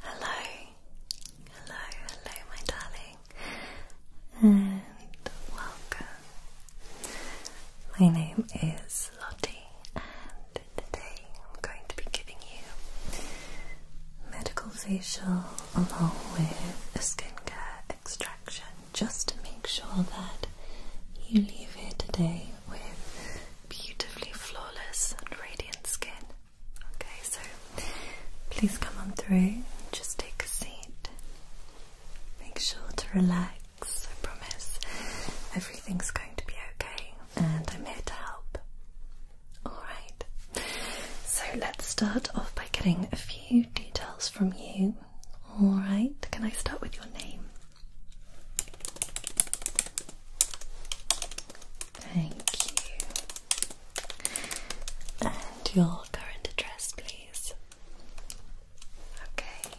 Hello, hello, hello, my darling, and welcome. My name is Lottie, and today I'm going to be giving you medical facial along with a skincare extraction just to make sure that you leave here today with beautifully flawless and radiant skin. Okay, so please come on through and just take a seat. Make sure to relax, I promise. Everything's going to be okay, and I'm here to help. Alright, so let's start off by getting a few details from you. Alright, can I start with your name? Thank you. And your current address, please. Okay.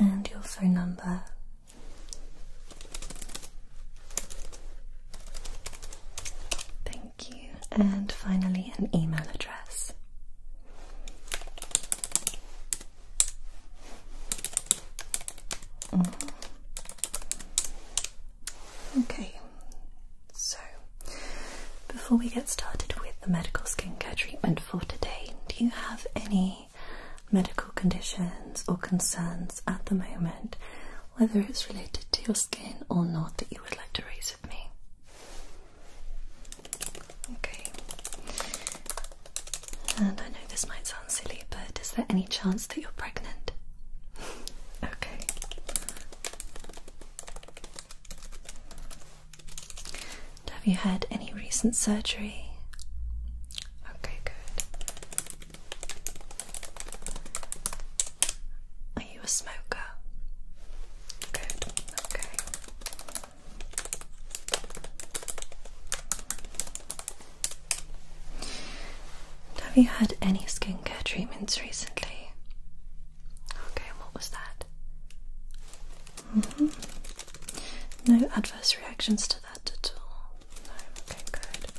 And your phone number. Thank Thank you. And finally, an email address. Mm-hmm. Okay, so before we get started with the medical skincare treatment for today, do you have any medical conditions or concerns at the moment whether it's related to your skin or not that you would like to raise with me. Okay. And I know this might sound silly, but is there any chance that you're pregnant? okay. Have you had any recent surgery? Okay, good you a smoker? Good, okay. Have you had any skincare treatments recently? Okay, what was that? -hmm. No adverse reactions to that at all. No, okay, good.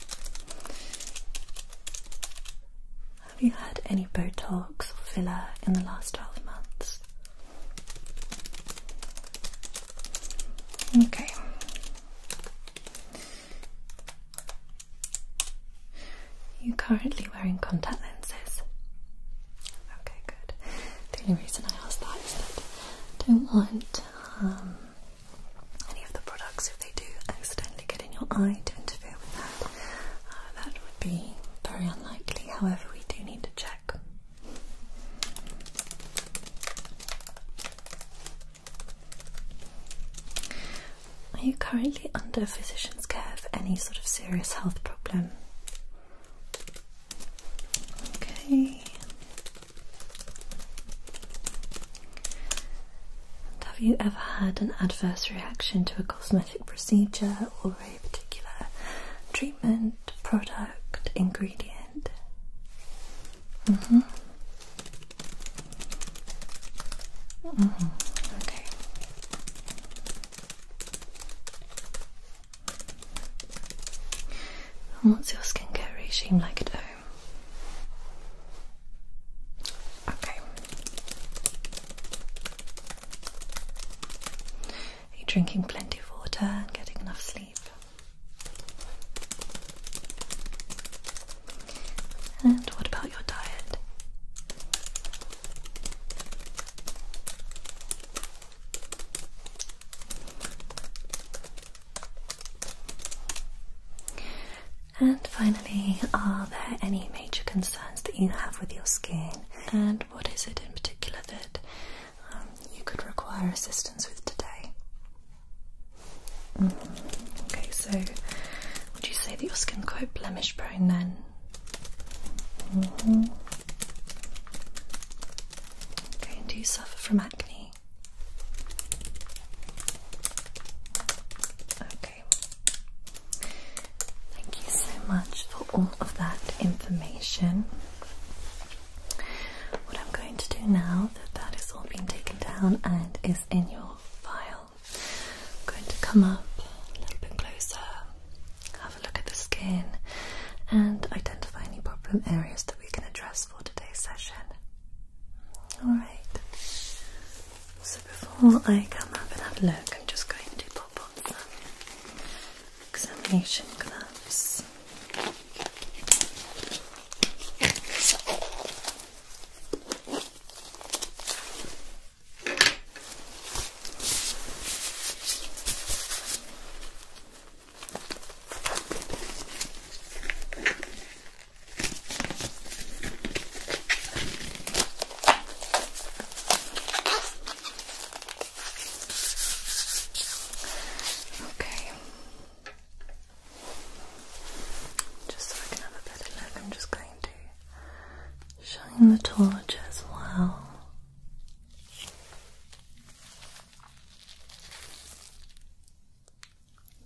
Have you had any Botox or filler in the last 12 months? Okay. You're currently wearing contact lenses. Okay, good. The only reason I ask that is that I don't want um, any of the products do accidentally get in your eye to interfere with that. Uh, that would be very unlikely, however, we do need to check. Are you currently under physician's care for any sort of serious health problem? Okay have you ever had an adverse reaction to a cosmetic procedure or a particular treatment, product, ingredient? Mm hmm. Mm -hmm. Okay. And what's your skincare regime like at home? Are you drinking plenty of water and getting enough sleep? And what about your diet? And finally, are there any major concerns that you have with your skin? And what is it in particular that um, you could require assistance with today? Mm-hmm. Okay, so would you say that your skin's quite blemish prone then? Mm-hmm. Okay, and do you suffer from acne? Okay. Thank you so much for all of that information. What I'm going to do now that that is all been taken down and is in your file, I'm going to come up a little bit closer, have a look at the skin, and identify any problem areas that we can address for today's session. Alright, so before I come up and have a look, I'm just going to pop on some examination gloves. Okay. Just so I can have a better look, I'm just going to shine the torch as well.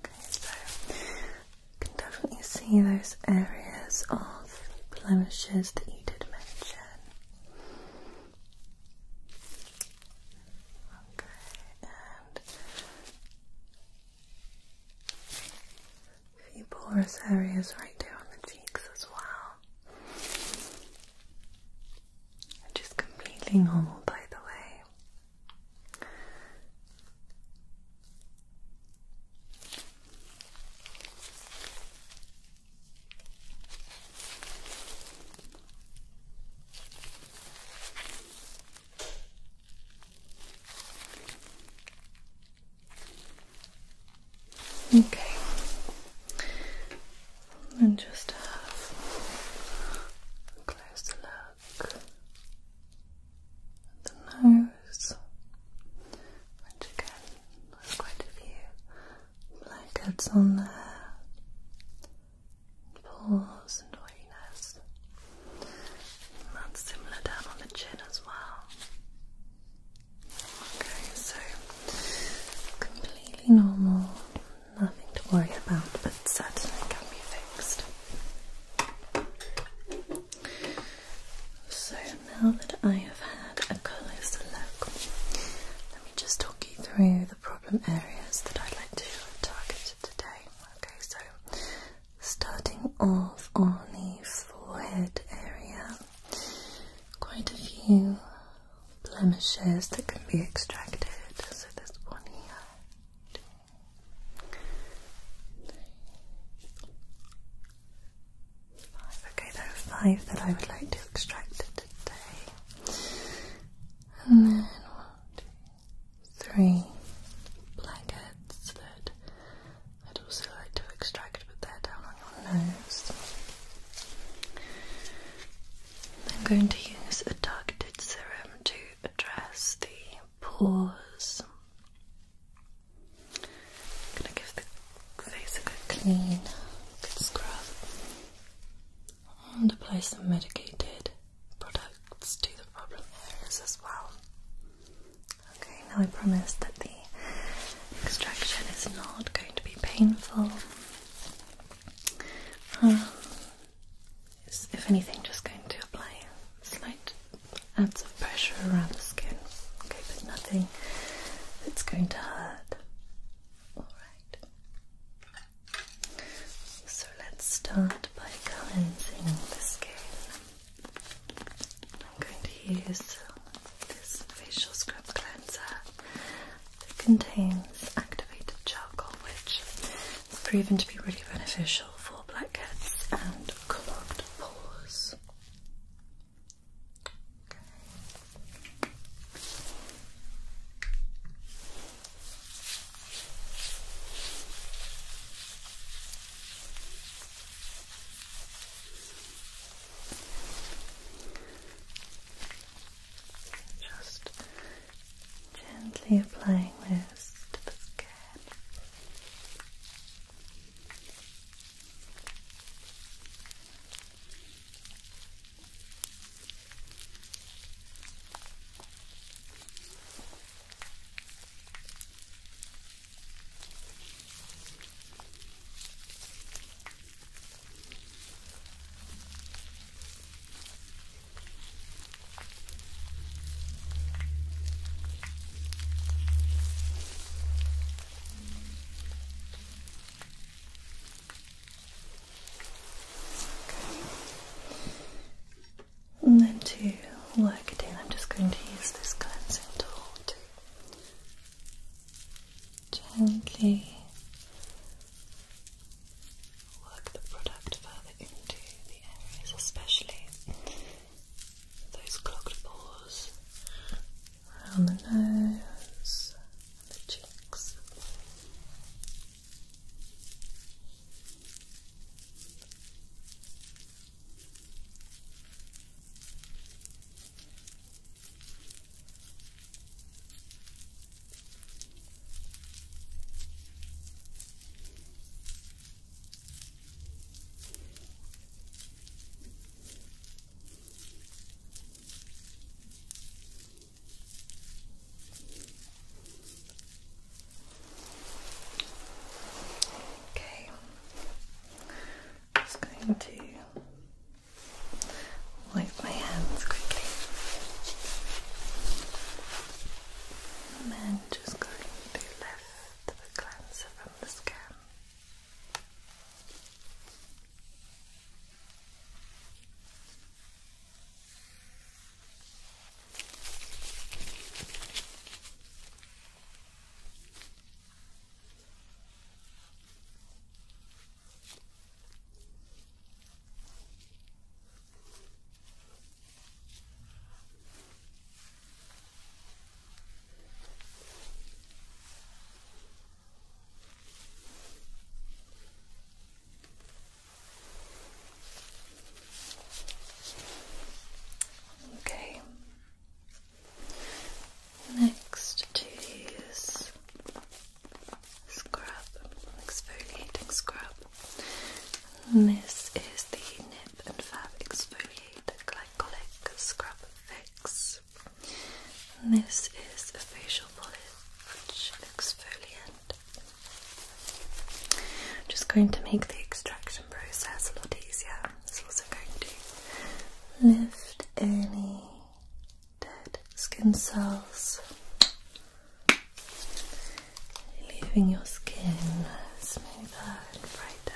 Okay, so you can definitely see those areas of blemishes that you did mention. Okay, and a few porous areas right there on the cheeks as well. Just completely normal, by the way. Okay. And just have a closer look the nose, which again has quite a few blackheads on there, and pores and oiliness. And that's similar down on the chin as well. Okay, so completely normal, nothing to worry about, but certainly can be fixed. So now that I have had a closer look, let me just talk you through the problem areas that I'd like to target today. Okay, so starting off on the forehead area, quite a few blemishes that can be extracted. So there's one here, Five. Okay, there are five that I would like to extract today. And then one, two, three blankets that I'd also like to extract, but they're down on your nose. I'm going to use a targeted serum to address the your I'm gonna give the face a good clean, good scrub, and apply some medicated products to the problem areas as well. Okay, now I promise that the extraction is not going to be painful. Um, if anything, just going to apply slight adds of pressure around the skin. Okay, but nothing It's going to hurt. Alright. So let's start by cleansing the skin. I'm going to use this facial scrub cleanser It contains activated charcoal, which it's proven to be really beneficial for blackheads and clogged pores. Just Gently applying this to the skin. And then to work it in, I'm just going to use this cleansing tool to gently work the product further into the areas, especially those clogged pores around the nose and the cheeks. Okay, i just going to wipe my hands quickly. And then just going to lift the cleanser from the skin. Okay. Next to use scrub, exfoliating scrub. This is the Nip and Fab Exfoliate Glycolic Scrub Fix. This is a facial polish exfoliant. I'm just going to make the extraction process a lot easier. It's also going to lift any dead skin cells leaving your skin smoother and brighter.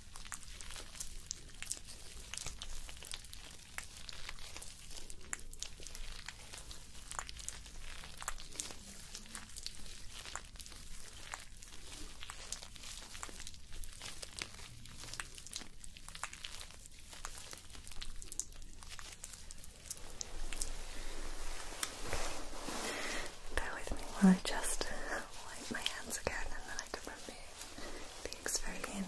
Bear with me while I just wipe my hands again and then I can remove the experience.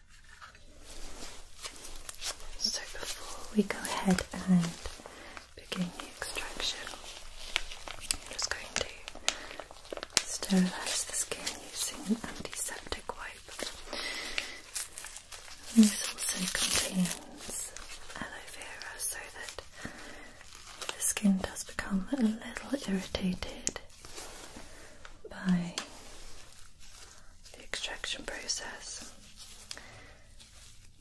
so before we go ahead and begin the extraction, I'm just going to sterilise the skin using an antiseptic wipe. this also contains aloe vera so that the skin does become a little irritated by the extraction process.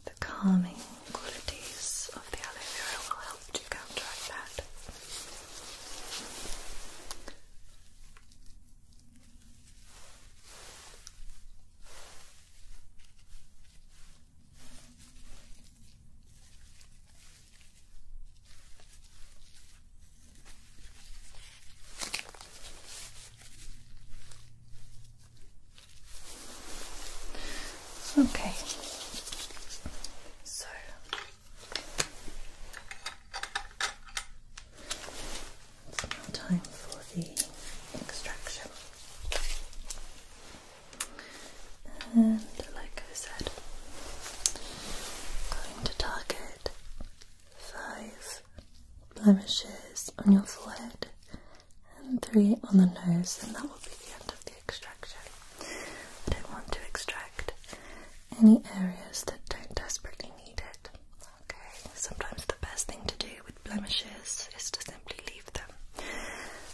The calming qualities of the aloe vera will help you counteract that. Okay. So it's now time for the extraction. And like I said, going to target five blemishes on your forehead and three on the nose, and that will be the end of the extraction. I don't want to extract any areas that don't desperately need it. Okay, sometimes the best thing to do with blemishes is to simply leave them.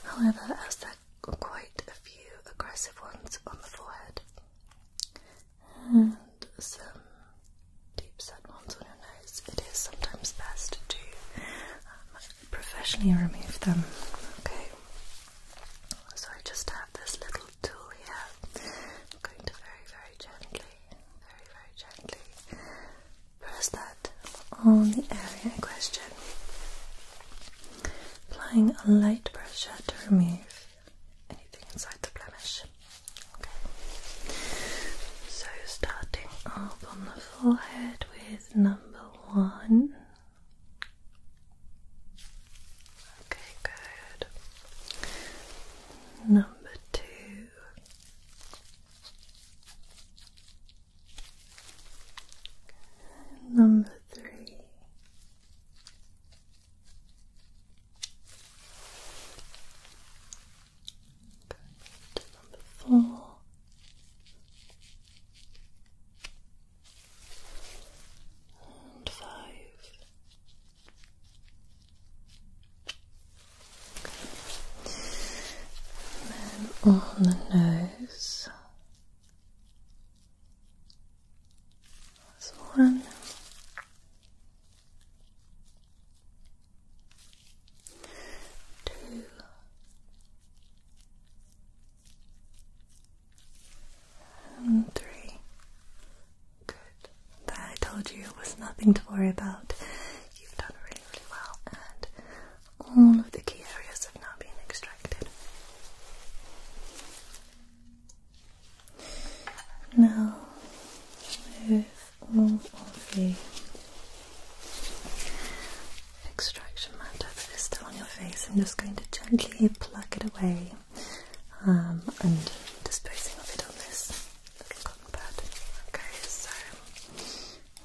However, as there are quite a few aggressive ones on the forehead, and some deep set ones on your nose. It is sometimes best to um, professionally remove them. Okay, so I just have this little tool here. I'm going to very, very gently, very, very gently press that on the area in question. Applying a light pressure to remove anything inside the blemish. Okay. So starting up on the forehead with number one. Okay, good. Number two. Number three. Good. Number four. And five. then on the nose. one two, and three. Good. I told you it was nothing to worry about. You've done really, really well, and all of the key areas have now been extracted. Now, with all of the extraction matter that is still on your face, I'm just going to gently plug it away um, and disposing of it on this little cotton pad. Okay, so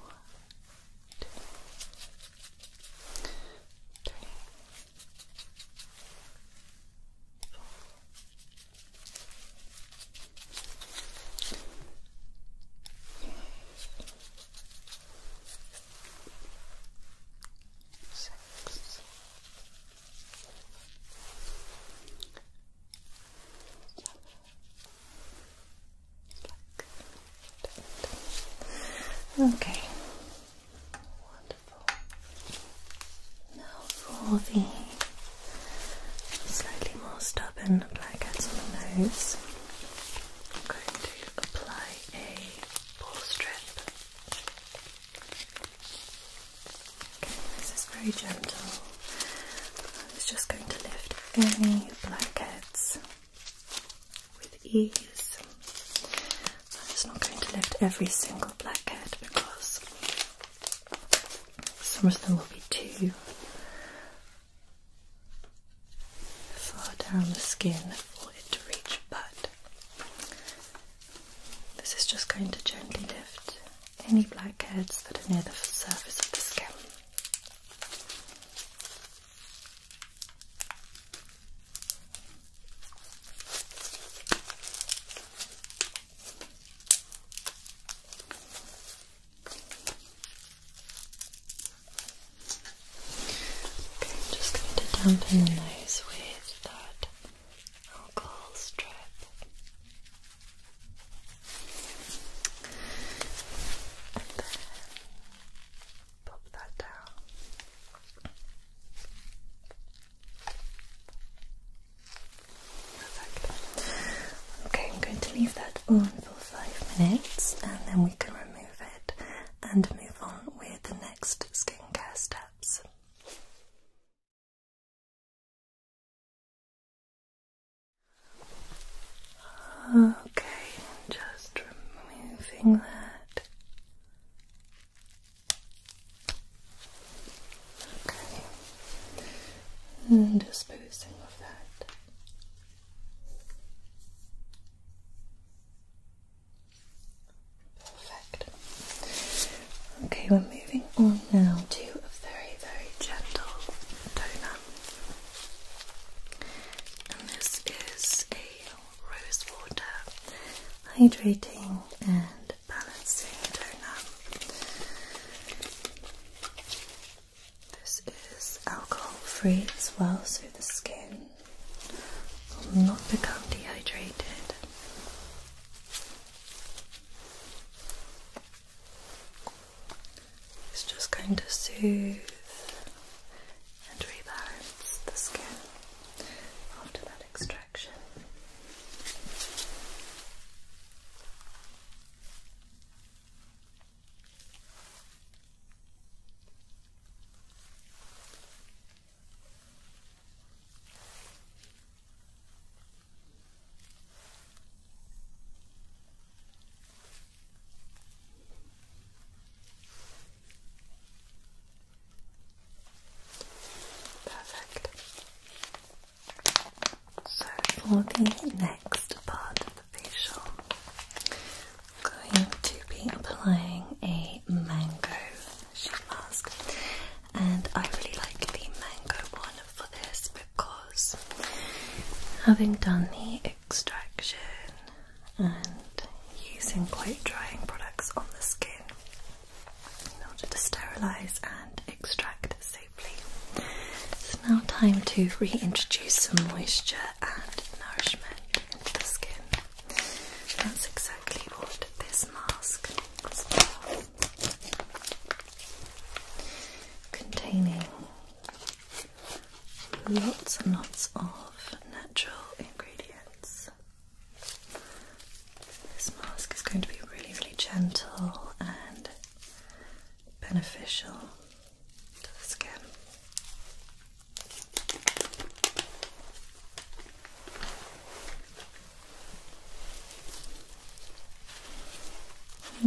one, two, Six. Okay. Now for the slightly more stubborn blackheads on the nose, I'm going to apply a ball strip. Okay, this is very gentle. It's just going to lift any blackheads with ease. I'm just not going to lift every single blackhead because some of them will be too far down the skin for it to reach, but this is just going to gently lift any blackheads that are near the surface of the skin. I'm just going to dampen those with that alcohol strip. And then pop that down. Okay, I'm going to leave that on for five minutes and then we can remove it and move on with the next skincare steps. Okay, just removing that. Okay. And disposing of that. Perfect. Okay, we're moving on now to a very, very gentle toner. And this is a rose water hydrating and balancing donut. This is alcohol free as well, so the skin will not become dehydrated. It's just going to soothe and rebalance the skin after that extraction. Perfect. So for the next part of the facial, I'm going to be applying a mango sheet mask, and I really like the mango one for this because having done the extraction and using quite drying products on the skin, in order to sterilise and extract safely. It's now time to reintroduce some moisture and nourishment into the skin. That's exactly what this mask is for. Containing lots and lots of natural ingredients this mask is going to be really, really gentle and beneficial to the skin.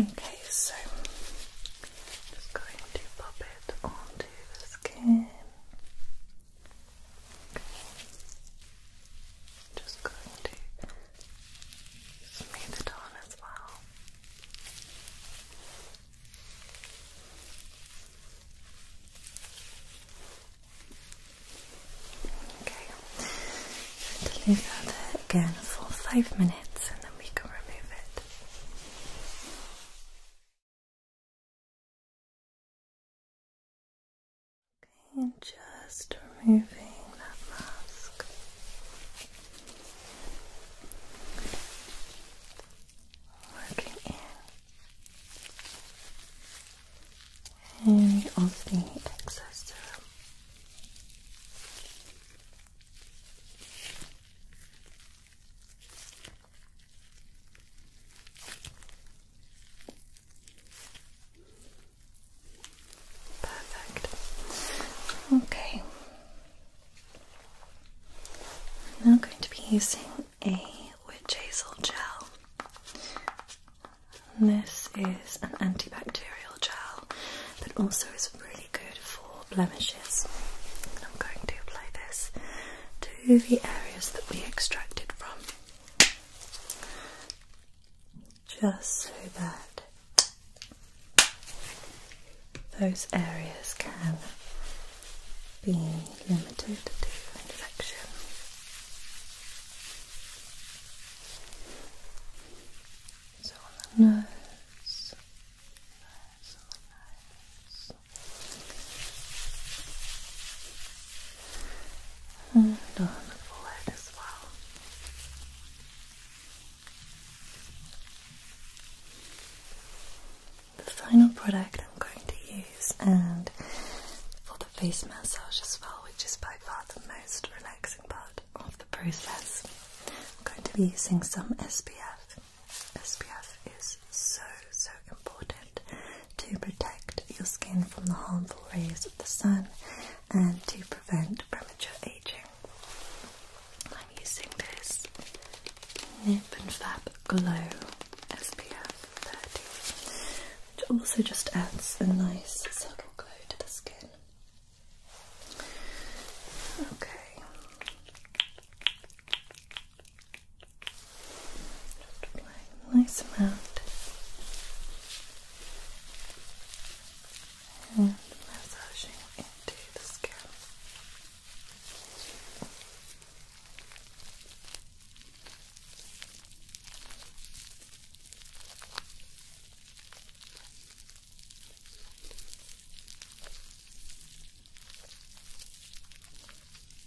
Okay, so just going to pop it onto the skin. Just going to smooth it on as well. Okay, I'm going to leave that there again for five minutes and then we can remove it. Okay, and just removing that mask. Working And we the excess serum. Perfect. Okay. I'm going to be using a witch hazel gel. this is an antibacterial gel that also is really good for blemishes. I'm going to apply this to the areas that we extracted from just so that those areas can be limited to infection. So on the nose. Nose, nose and uh, on the forehead as well. The final product I'm going to use, and for the face massage as well, which is by far the most relaxing part of the process, I'm going to be using some SPF. SPF is so so important to protect your skin from the harmful rays of the sun and to prevent premature aging. I'm using this Nip and Fab Glow SPF 30, which also just adds a nice subtle glow to the skin. Okay. Just a nice amount. And massaging into the scalp.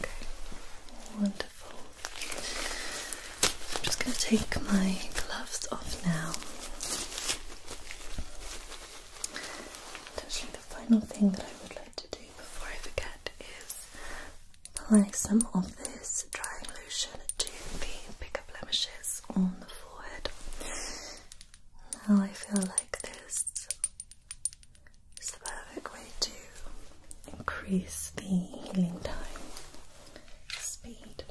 Okay, wonderful. I'm just going to take my gloves off now. actually, the final thing that I would like to do before I forget is apply some of this drying lotion to the bigger blemishes on the forehead. Now I feel like this it's the perfect way to increase the healing time speed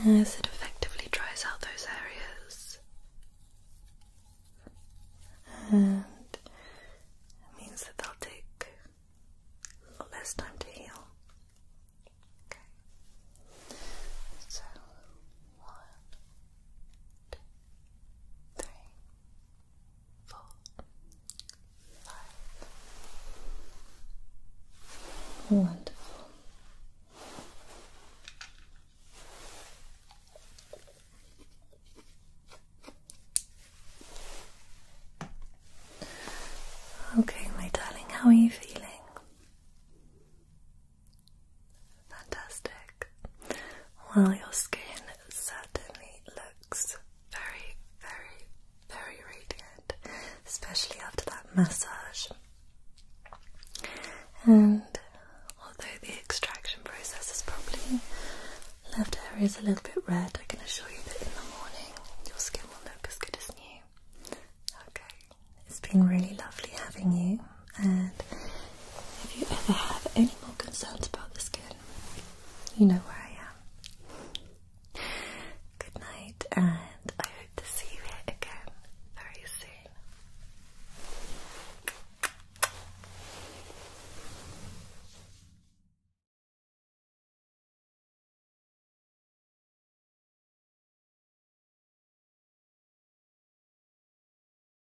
as it effectively dries out those areas and means that they'll take less time to heal. Okay. So one, two, three, four, five. Wonderful. Okay, my darling, how are you feeling? Fantastic. Well, your skin certainly looks very, very, very radiant, especially after that massage. And although the extraction process has probably left areas a little bit red, I can assure you that in the morning your skin will look as good as new. Okay, it's been really lovely having you. And if you ever have any more concerns about the skin, you know where I am. Good night, and I hope to see you again very soon.